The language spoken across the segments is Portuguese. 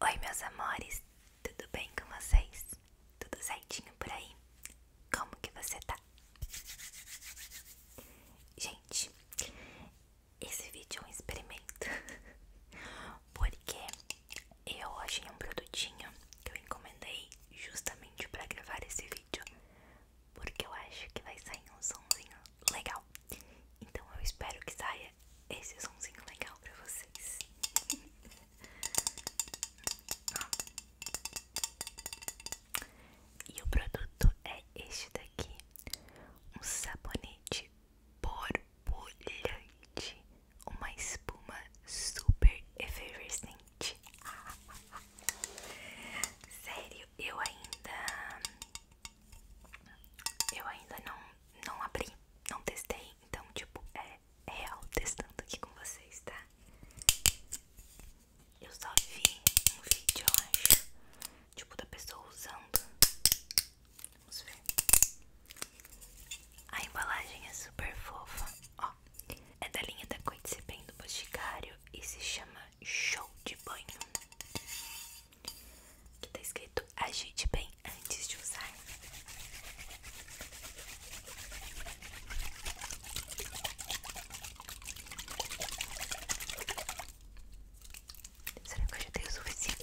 Oi, meus amores, tudo bem com vocês? Tudo certinho por aí? Como que você tá? Gente, esse vídeo é um experimento porque eu achei um produtinho que eu encomendei justamente para gravar esse vídeo porque eu acho que vai sair um somzinho legal. Então eu espero que saia trazer esse somzinho legal pra vocês. e o produto é este daqui: um sabonete borbulhante, uma espuma super efervescente. Sério, eu ainda eu ainda não, não abri, não testei, então tipo, é real testando aqui com vocês, tá? Eu só vi um vídeo, acho, tipo da pessoa usando. Vamos ver. A embalagem é super fofa, ó. É da linha da Coit bem do Boticário e se chama Show de Banho. Que tá escrito agite bem antes de usar. Será que eu já tenho o suficiente?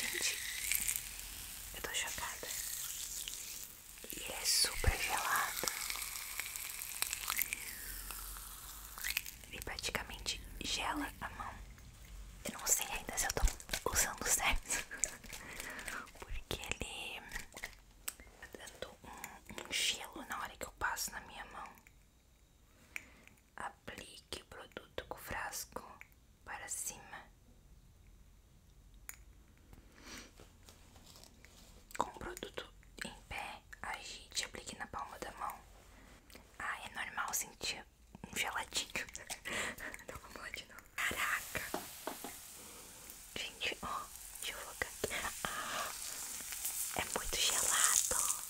Gente, eu tô chocada. E é super gelado. Ele praticamente gela a mão. Eu não sei ainda se eu tô usando certo. Porque ele tá dando um, um gelo na hora que eu passo na minha mão. Aplique o produto com frasco para cima. Com o produto em pé, agite e aplique na palma da mão. Ah, é normal sentir um geladinho. Não vamos lá de novo. Caraca! Gente, ó, deixa eu focar aqui. Ah, é muito gelado.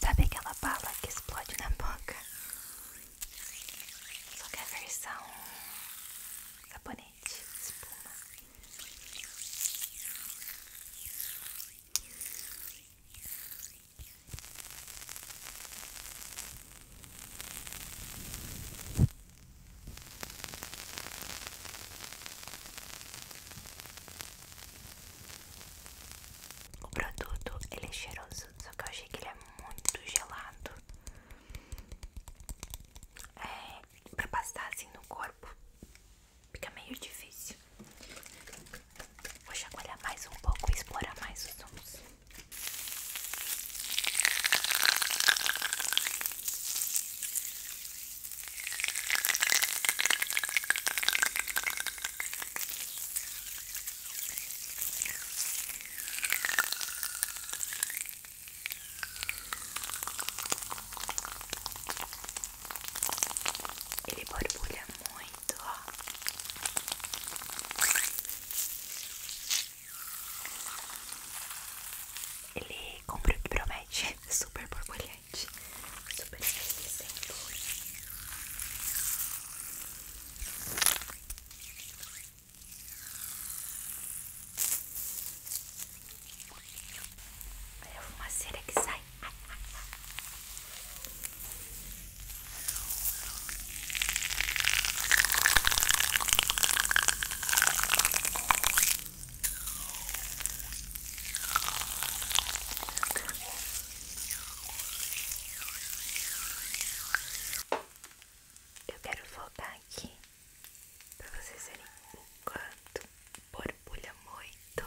Sabe aquela bala que explode na boca? Só que a versão sabonete, espuma. O produto ele é cheiroso, só que eu achei que ele é muito gelado. É, pra passar assim no corpo fica meio difícil. Vou chacoalhar mais um pouco e explorar mais os sons. Ele borbulha muito, ele comprou o que promete. É super borbulhante. Super resistente. Olha é a fumaceira que sai. Eu quero voltar aqui para vocês verem o quanto borbulha muito.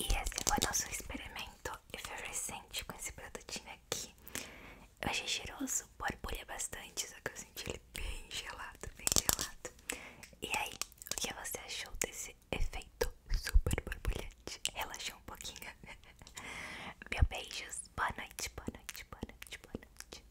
E esse foi nosso experimento efervescente com esse produtinho aqui. Eu achei cheiroso, borbulha bastante, só que eu senti ele bem gelado, bem gelado. E aí, o que você achou desse efeito super borbulhante? Relaxou um pouquinho? Meu beijos, boa noite, boa noite, boa noite, boa noite.